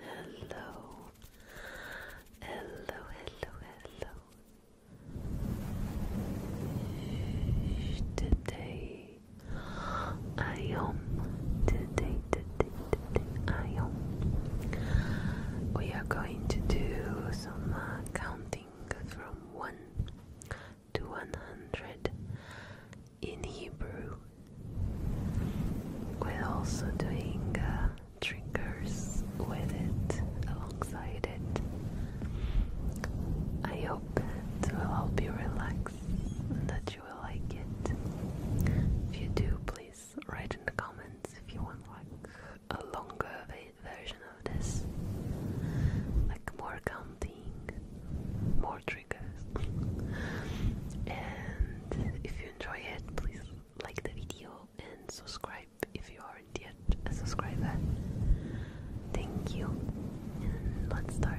Hello, hello, hello, hello. Today I am today, today, today I am. We are going to do some uh, counting from one to one hundred in Hebrew. We're also doing uh, with it alongside it. I hope it will help you relax and that you will like it. If you do, please write in the comments if you want like a longer version of this, like more counting, more triggers. and if you enjoy it, please like the video and subscribe if you are yet a subscriber. Thank you, and let's start.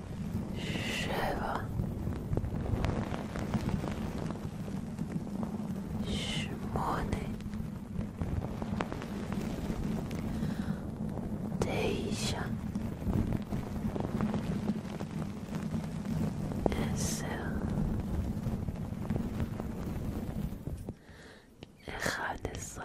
shiver, shmoney, deja, eser, אחד עשרה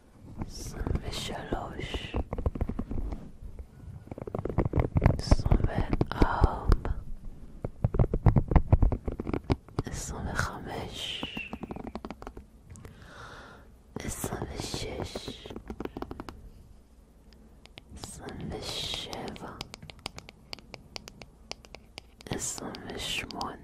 Są ושלוש, עשרים וארבע, עשרים וחמש, עשרים ושש, עשרים ושבע, עשרים ושמונה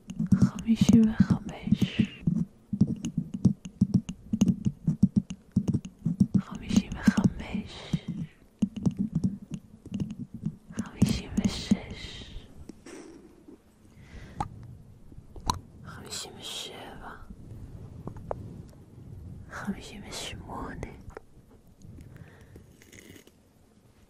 חמישי וחמש חמישים וחמש חמישים ושש חמישים ושבע חמישים ושמונה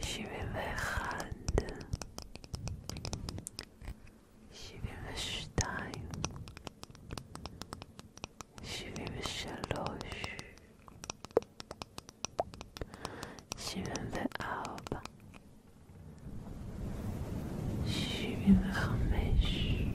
Je vais vers Rad. Je vais vers Stein. Je vais vers Chaloche. Je vais vers Arba. Je vais vers Ramesh.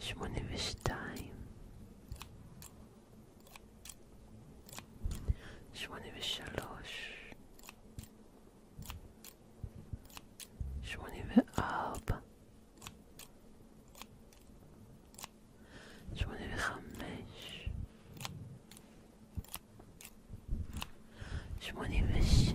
שמונה ושתיים, שמונה ושלוש, שמונה וארבע, שמונה וחמש, שמונים ושש,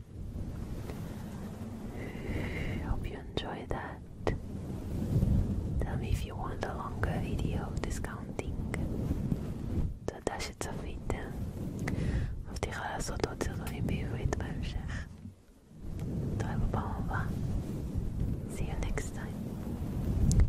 Hope you enjoy that. Tell me if you want a longer video discounting. Tot als je het zo vindt. מבטיחה לעשות עוד סרטונים בעברית בהמשך. נתראה בפעם See you next time.